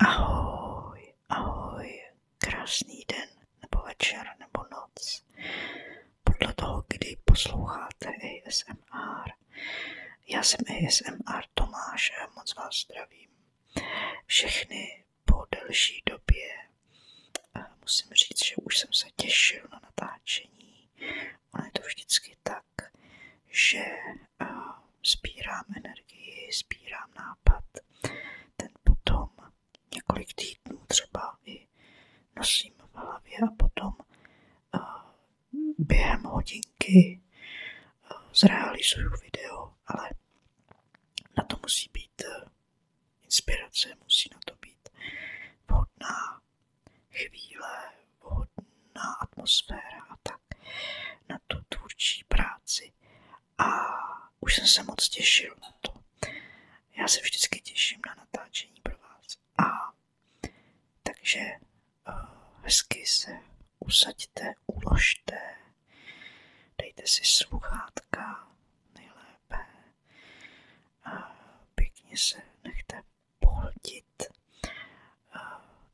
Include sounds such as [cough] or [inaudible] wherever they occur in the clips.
Ahoj, ahoj, krásný den, nebo večer, nebo noc. Podle toho, kdy posloucháte ASMR. Já jsem ASMR Tomáš a moc vás zdravím. Všechny po delší době musím říct, že už jsem se těšil na natáčení. Ono je to vždycky tak, že sbírám energii, sbírám nápad. Ten potom několik týdnů třeba i nosím v hlavě a potom uh, během hodinky uh, zrealizuju video, ale na to musí být uh, inspirace, musí na to být vhodná chvíle, vhodná atmosféra a tak na tu tvůrčí práci a už jsem se moc těšil na to. Já se vždycky těším na natáčení pro vás. A takže eh, hezky se usaďte, uložte, dejte si sluchátka nejlépe, a pěkně se nechte pohltit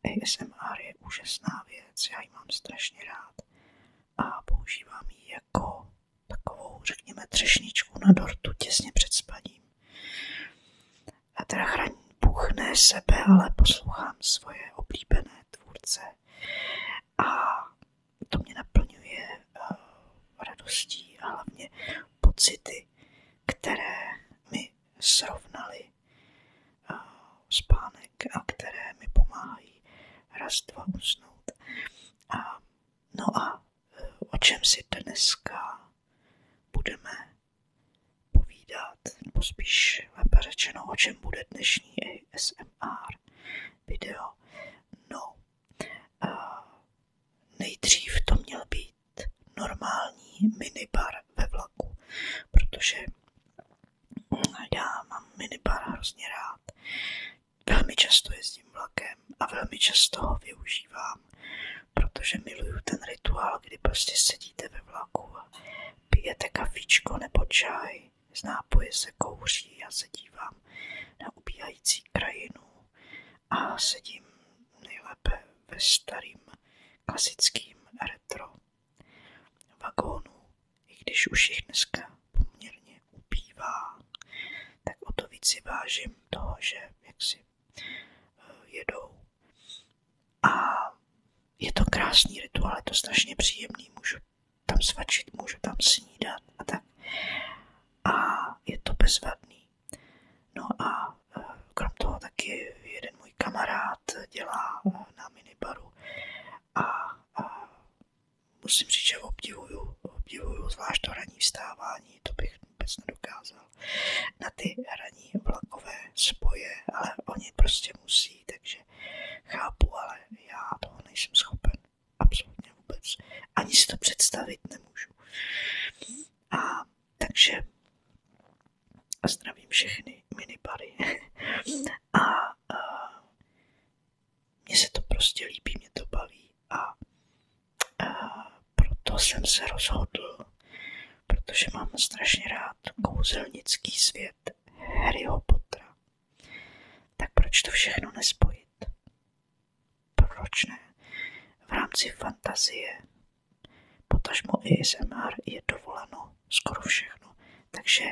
ASMR je úžasná věc, já ji mám strašně rád a používám ji jako takovou, řekněme, třešničku na dortu těsně před spaním. A teda chraň Bůh ne sebe, ale poslouchám svoje oblíbené tvůrce a to mě naplňuje uh, radostí a hlavně pocity, které mi srovnaly spánek myšlenek a které mi pomáhají raz, dva usnout. A, no a eh, o čem si dneska budeme povídat, nebo spíš lépe řečeno, o čem bude dnešní ASMR video. No, a nejdřív to měl být normální minibar ve vlaku, protože já mám minibar hrozně rád. Velmi často jezdím vlakem a velmi často ho využívám, protože miluju ten rituál, kdy prostě sedíte ve vlaku a pijete kafičko nebo čaj, z nápoje se kouří, já se dívám na ubíhající krajinu a sedím nejlépe ve starým klasickým retro vagónů, i když už jich dneska poměrně upívá, tak o to víc si vážím toho, že jak si eh, jedou. A je to krásný rituál, je to strašně příjemný, můžu tam svačit, můžu tam snídat a tak. A je to bezvadný. No a eh, krom toho taky jeden můj kamarád dělá na minibaru a, a musím říct, že obdivuju, obdivuju zvlášť to ranní vstávání, to bych vůbec nedokázal. Na ty ranní vlakové spoje, ale oni prostě musí, takže chápu, ale já toho nejsem schopen absolutně vůbec. Ani si to představit nemůžu. A takže a zdravím všechny minibary. [laughs] A a mně se to prostě líbí, mě to baví a, a proto jsem se rozhodl, protože mám strašně rád kouzelnický svět Harryho Pottera. Tak proč to všechno nespojit? Proč ne? V rámci fantazie, potažmo ASMR je dovoleno skoro všechno, takže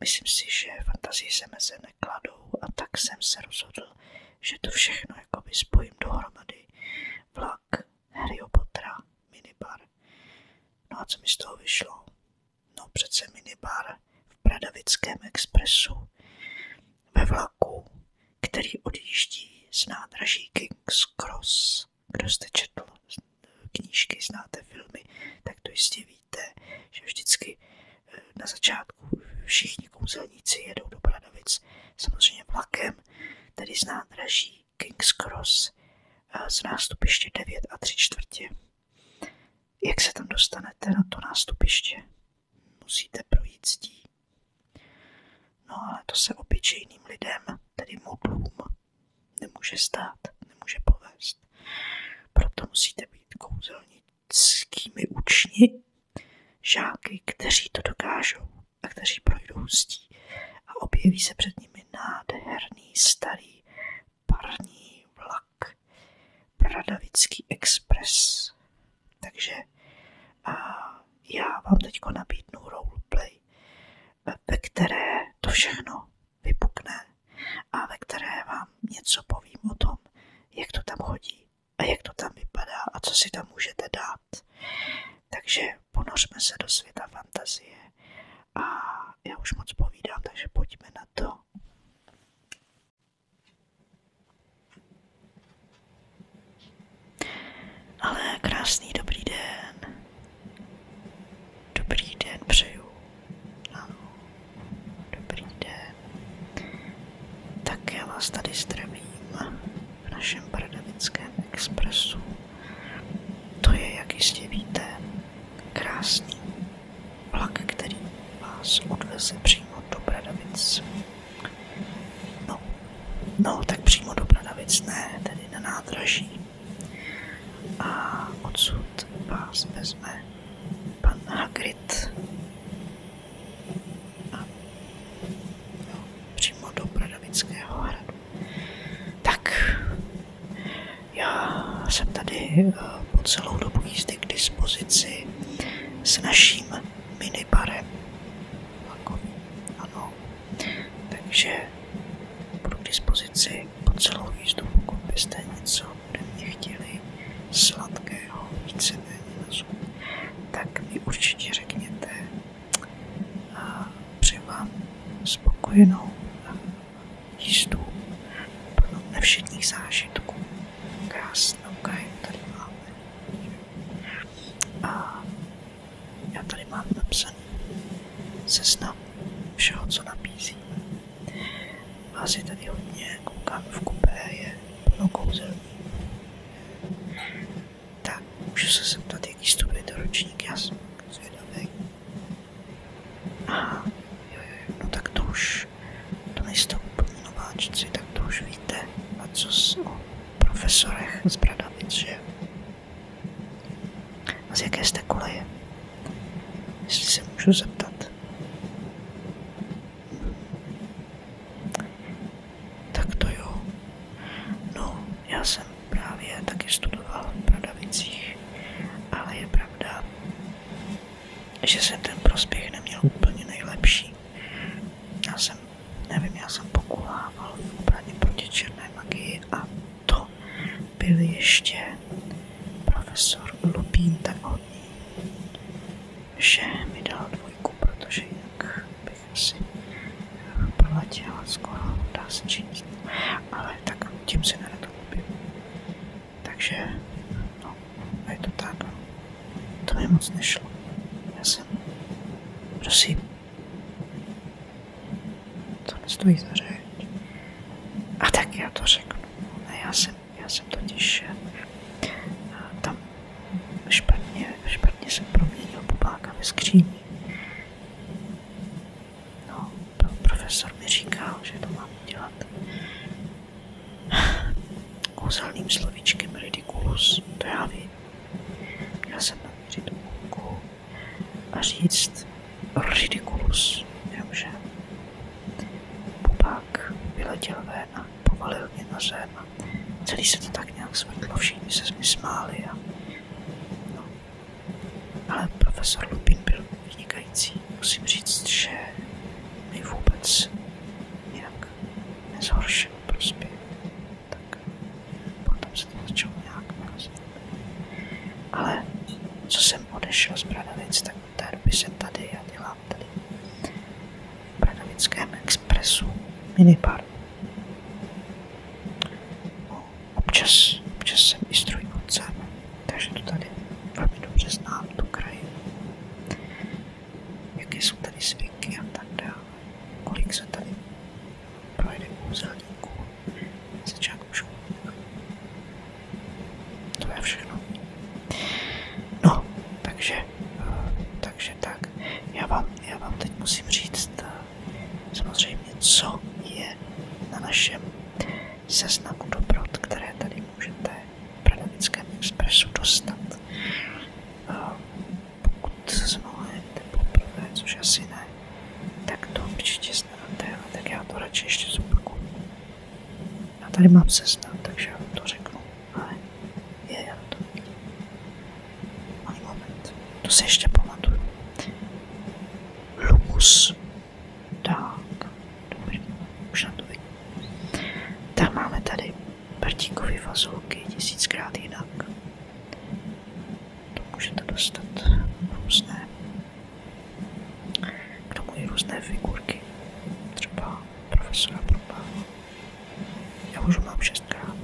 Myslím si, že fantazii se meze nekladou a tak jsem se rozhodl, že to všechno jako jakoby spojím dohromady. Vlak, Harry Pottera, minibar. No a co mi z toho vyšlo? No přece minibar v Bradavickém expresu. Ve vlaku, který odjíždí z nádraží King's Cross. Kdo jste četl knížky, znáte filmy, tak to jistě víte, že vždycky eh, na začátku všichni kouzelníci jedou do Bradavic, samozřejmě vlakem, Tady znám nádraží King's Cross z nástupiště 9 a 3 čtvrtě. Jak se tam dostanete na to nástupiště? Musíte projít zdí. No ale to se obyčejným lidem, tedy modlům, nemůže stát, nemůže povést. Proto musíte být kouzelnickými učni, žáky, kteří to dokážou a kteří projdou hustí a objeví se před nimi nádherný starý parní vlak, Bradavický expres. Takže a já vám teď nabídnu roleplay, ve které to všechno vypukne a ve které vám něco povím o tom, jak to tam chodí a jak to tam vypadá a co si tam můžete dát. Takže ponořme se do světa fantazie a já už moc povídám, takže pojďme na to. Ale krásný dobrý den. Dobrý den přeju. dobrý den. Tak já vás tady zdravím v našem Pardavickém expresu. To je, jak jistě víte, krásný vlak, který vás odveze přímo do Bradavic. No, no, tak přímo do Bradavic ne, tedy na nádraží. A odsud vás vezme pan Hagrid. A no, přímo do Bradavického hradu. Tak, já jsem tady eh, po celou dobu jízdy k dispozici s naším minibarem. Jako, ano, takže Budu k dispozici po celou jízdu, pokud byste něco ode mě chtěli sladkého, víceméně na zub, tak mi určitě řekněte a při vám spokojenou jízdu plnou nevšedních zážitků. Krásnou krajinu tady máme. A já tady mám napsaný seznam všeho, co nabízí. Asi tady hodně, koukám v kupé, je plno kouzel. Tak, můžu se zeptat, jaký studujete ročník, já jsem zvědavý. Aha, jo, jo, no tak to už, to nejste úplně nováčci, tak to už víte. A co s o profesorech z Bradavic, že? A z jaké jste koleje? Jestli se můžu zeptat. Tak to jo. No, já jsem právě taky studoval v Bradavicích, ale je pravda, že jsem ten prospěch neměl úplně nejlepší. Já jsem, nevím, já jsem pokulával v obraně proti černé magii a to byl ještě profesor Lupín tak hodný, že mi dal dvojku, protože jinak bych asi proletěla skoro, dá se činit. Ale tak tím se nerad chlubím. Takže, no, je to tak. To mi moc nešlo. Já jsem, prosím, to nestojí za řeč. tak já to řeknu. Ne, já jsem, já jsem totiž eh, tam špatně, špatně jsem proměnil bubáka ve skříni. No, profesor mi říkal, to mám dělat kouzelným slovíčkem ridiculus, to já vím. Já jsem Ridiculus. Dobře. Pupák vyletěl ven a povalil mě na zem. Celý se to tak nějak zvrtlo, všichni se mi smáli a... No. Ale profesor Lupin byl vynikající. Musím říct, že mi vůbec nějak nezhoršil prospěch. Tak potom se to začalo nějak narazit. Ale co jsem odešel z Bradavic, terpyše tady a dělám tady v Bradavickém expresu minibar. No, občas, občas jsem i strojvůdcem, takže to tady velmi dobře znám, tu krajinu. Jaké jsou tady zvyky a tak dále. Kolik se tady projde kouzelníků začátku školního. To je všechno. No, takže, eh, takže tak, já vám, já vám teď musím říct eh, samozřejmě, co je na našem seznamu dobrot, které tady můžete v Bradavickém expresu dostat. Eh, pokud se mluvíte poprvé, což asi ne, tak to určitě znáte, ale tak já to radši ještě zopakuju. Já tady mám seznam, takže já to řeknu. Ale je, já to Mám moment, to se ještě pamatuju. Lumus. Tak, dobře, už na to vidím. Tak máme tady Bartíkovy fazolky, tisíckrát jinak. To můžete dostat různé k tomu různé figurky, třeba profesora Probála. Já už mám šestkrát,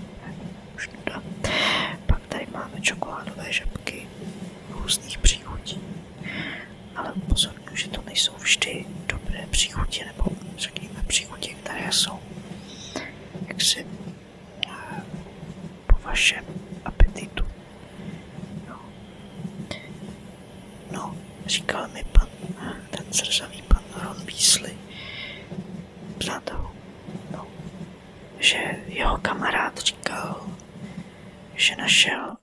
ne, Pak tady máme čokoládové žabky různých příchutí. Ale upozorňuji, že to nejsou vždy dobré příchutí, nebo řekněme příchutí, které jsou jaksi eh, po vašem apetitu. No, no říkal mi pan, ten zrzavý pan Ron Weasley, přátel, no, že jeho kamarád říkal, že našel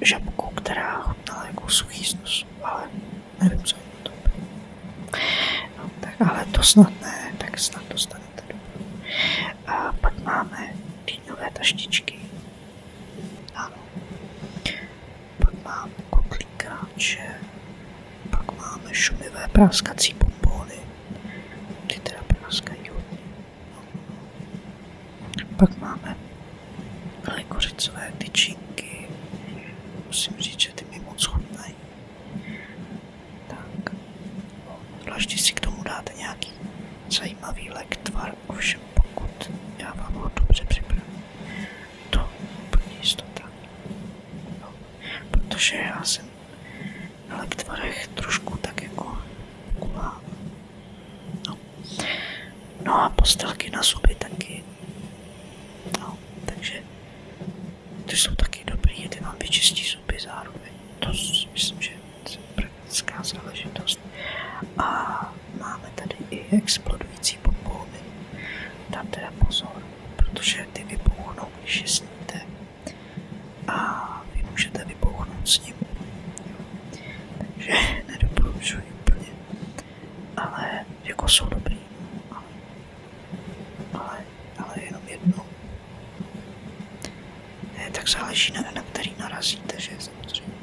žabku, která chutnala jako suchý snus, ale nevím, co je to. No, tak, ale to snad ne, tak snad dostanete dobrou. A pak máme dýňové taštičky, ano. Pak máme kotlikráče, pak máme šumivé praskací bombóny, ty teda praskají hodně. Pak máme kořicové tyčinky, musím říct, že ty mi moc chutnají. Tak, zvláště si k tomu dáte nějaký Zajímavý lek tvar, ovšem pokud já vám ho dobře připravím, to úplně jistota. No, protože já jsem na lek trošku tak jako kulám. No. no a postelky na zuby taky. No, takže ty jsou taky dobrý, ty vám vyčistí zuby zároveň. To myslím, že praktická záležitost. A máme tady i explodující popolvy. Dám teda pozor, protože ty vypouchnou, když je sníte. A vy můžete vypouchnout s ním. Takže [laughs] nedoporučuji úplně. Ale jako jsou dobrý. Ale, ale, ale jenom jednou. Ne, tak záleží na, na který narazíte, že samozřejmě.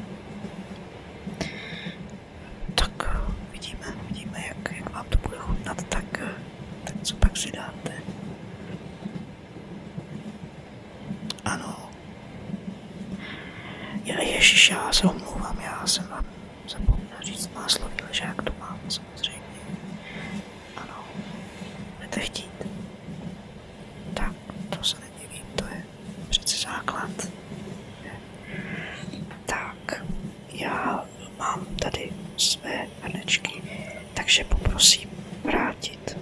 Tak vidíme, vidíme, jak, jak vám to bude chutnat, tak, tak co pak si Ano. Já, ježiš, já se omlouvám, já jsem vám zapomněl říct máslový ležák, to mám samozřejmě. Ano, budete Tak, to se nedivím, to je přece základ. Tak, já mám tady své hrnečky, takže poprosím vrátit.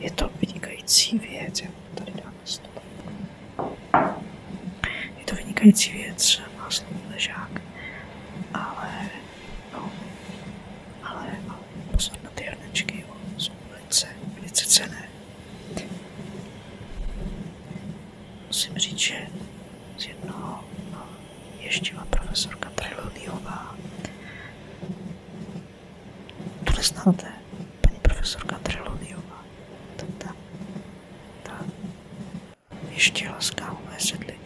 Je to vynikající věc, já tady dám stop. Je to vynikající věc, má slovo ležák, ale, no, ale, ale pozor na ty hrnečky, jo, jsou velice, velice cené. Musím říct, že z jednoho má no, profesorka Trelodiová. To neznáte, paní profesorka Trelodiová. To ta, ta ještila z kávové sedliny.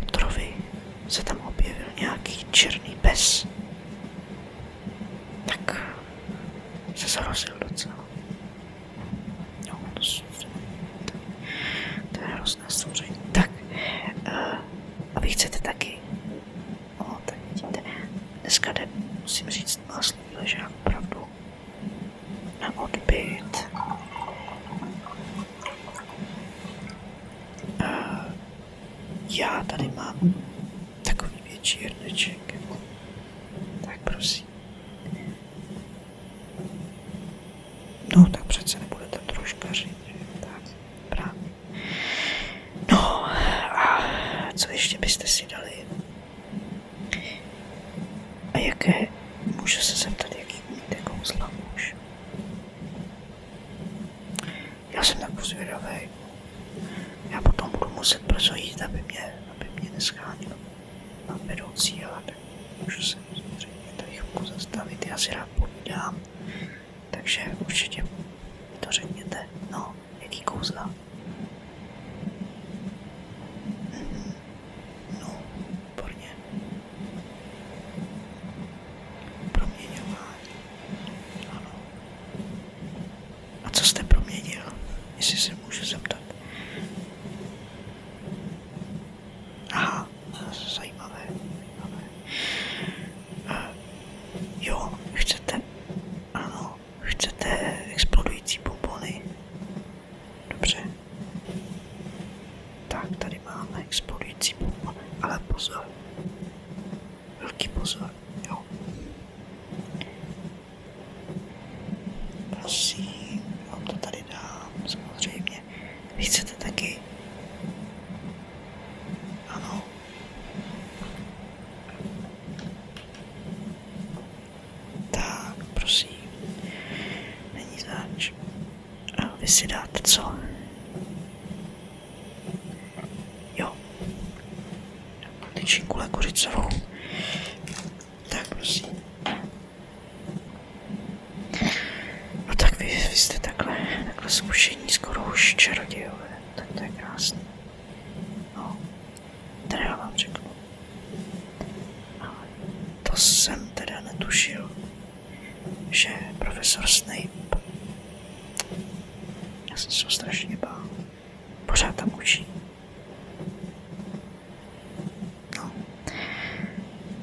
Lutrovi se tam objevil nějaký černý pes. Tak se zarozil docela. No, to, to, to je hrozné stvoření. Tak, uh, a vy chcete taky? No, tak vidíte, dneska jde, musím říct, vás ležák opravdu na odbyt já tady mám takový větší hrneček. Tak prosím. No, tak přece nebudete troškaři, tak právě. No, a co ještě byste si dali? A jaké, můžu se zeptat, jaký umíte kouzla muž? Já jsem tak zvědavý. Já potom budu muset brzo jít, aby mě, aby mě neschánil na vedoucí, ale tak můžu se samozřejmě tady chvilku zastavit. Já si rád povídám, takže určitě to řekněte. No, jaký kouzla? Mhm. No, výborně. Proměňování. Ano. A co jste proměnil? Jestli se můžu zeptat. Aha, eh, jo, chcete, ano, chcete explodující bombony. Dobře. Tak, tady máme explodující bombu, ale pozor. Velký pozor, Prosím, vám to tady dám, samozřejmě. Vy chcete taky? Tak, prosím. Není a vy si dáte co? Jo. Tyčinkule kuřicovou. Tak prosím. No tak vy, vy jste takhle, takhle zkušení skoro už čarodějové. Tak to je krásné. No, teda já vám řeknu. A to jsem teda netušil že profesor Snape, já jsem se ho strašně bál, pořád tam učí. No,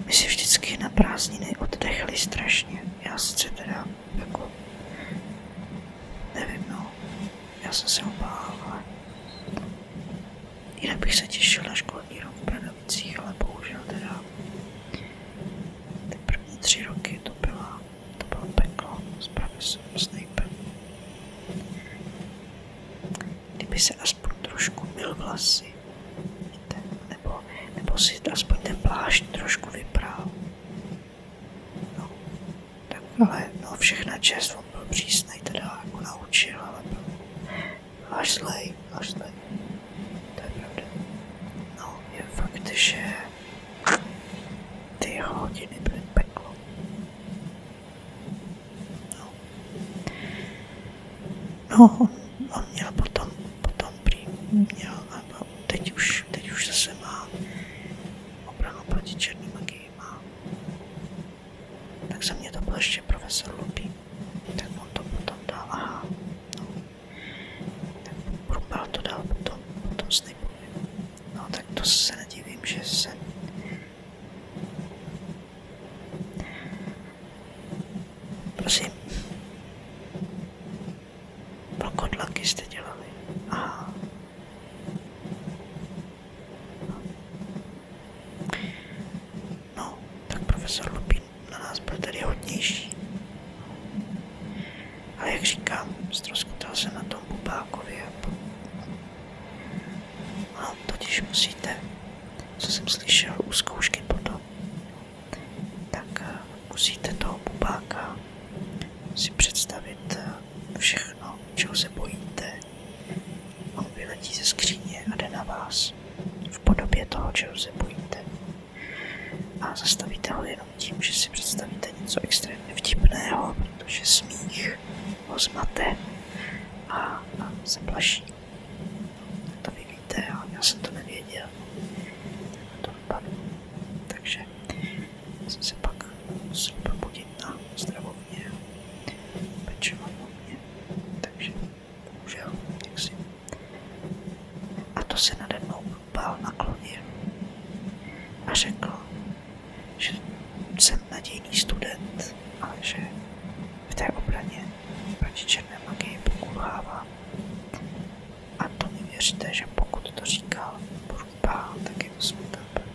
my si vždycky na prázdniny oddechli strašně, já sice teda jako, nevím no, já jsem se ho bál, ale jinak bych se těšil na školní rok novicí, ale bohužel teda ty první tři roky to, byla, to bylo peklo s profesorem Snapem. Kdyby se aspoň trošku mil vlasy, nebo, nebo si aspoň ten plášť trošku vyprál. No, tak ale no, všechna čest, on byl přísnej, teda jako naučil, ale byl Ashley, Ashley. To je pravda. No, je fakt, že ty hodiny byly peklo. No. No, on měl potom, potom prý, měl, a teď už, teď už zase má obranu proti černé magii má. Tak za mě to byl ještě profesor Lupí. Tak to potom dal, Probral to potom, potom snipuje. No tak to se nedivím, že se... Prosím. Pro jste dělali. No, tak profesor Lupí na nás byl tady hodnější. Ale jak říkám, ztroskotal se na tom bubákově. A no, totiž musíte, co jsem slyšel u zkoušky potom, tak eh, musíte toho bubáka si představit eh, všechno, čeho se bojíte. On vyletí ze skříně a jde na vás v podobě toho, čeho se bojíte. A zastavíte ho jenom tím, že si představíte něco extrémně vtipného, protože smích ho a, a zaplaší. To vy víte, ale já jsem to nevěděl. To dopadlo. Takže jsem se pak musel probudit na zdravotně pečovat bohužel, jak si. A to se nade mnou bál naklonil a řekl, že jsem nadějný student, ale že v té obraně proti černé magii pokulhávám. A to mi věřte, že pokud to říkal Brubá, tak je to smutná pravda.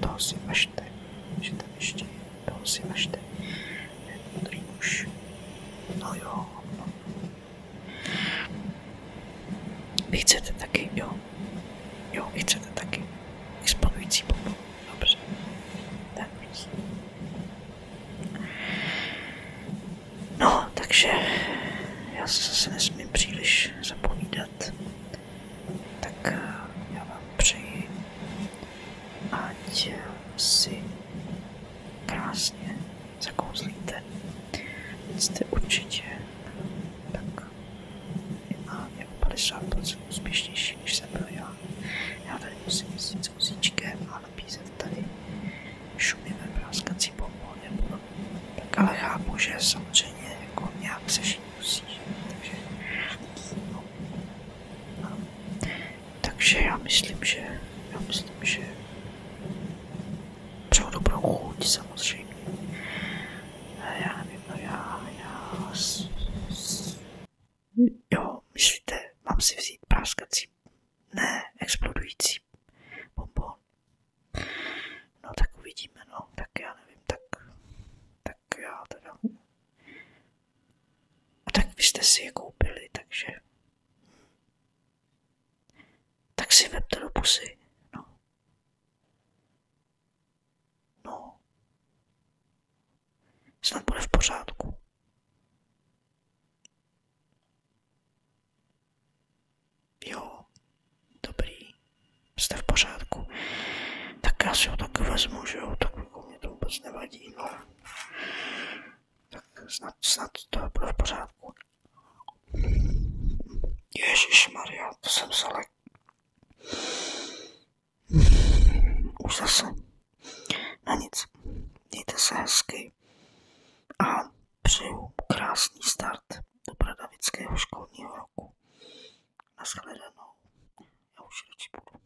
Toho si važte, že tam ještě je. Toho si važte. Ten modrý muž. No jo, no. Vy chcete taky, jo? Jo, vy chcete taky. Exponující bombu. Dobře. Tak. No, takže já se nesmím příliš zapovídat. Tak eh, já vám přeji, ať si krásně zakouzlíte. Jste určitě tak minimálně o 50% úspěšnější, než jsem byl já. Já tady musím jezdit s vozíčkem a nabízet tady šumivé práskací bombo nebo no. tak ale chápu, že samozřejmě jako nějak se žít musí, takže no, ano. Takže já myslím, že já myslím, že přeju dobrou chuť samozřejmě. Já nevím, no já, já... Jo, myslíte, mám si vzít práskací, ne, explodující bonbon. No tak uvidíme, no, tak já nevím, tak, tak já teda... A tak vy si je koupili, takže tak si vemte do pusy. No. No. Snad bude v pořádku. Jo, dobrý, jste v pořádku. Tak já si ho taky vezmu, že jo, tak jako mě to vůbec nevadí, no. Tak snad, snad to bude v pořádku. Ježíš Maria, to jsem se lek. Už zase. Na nic. Mějte se hezky. A přeju krásný start do bradavického školního roku. Naschledanou. Já už radši budu.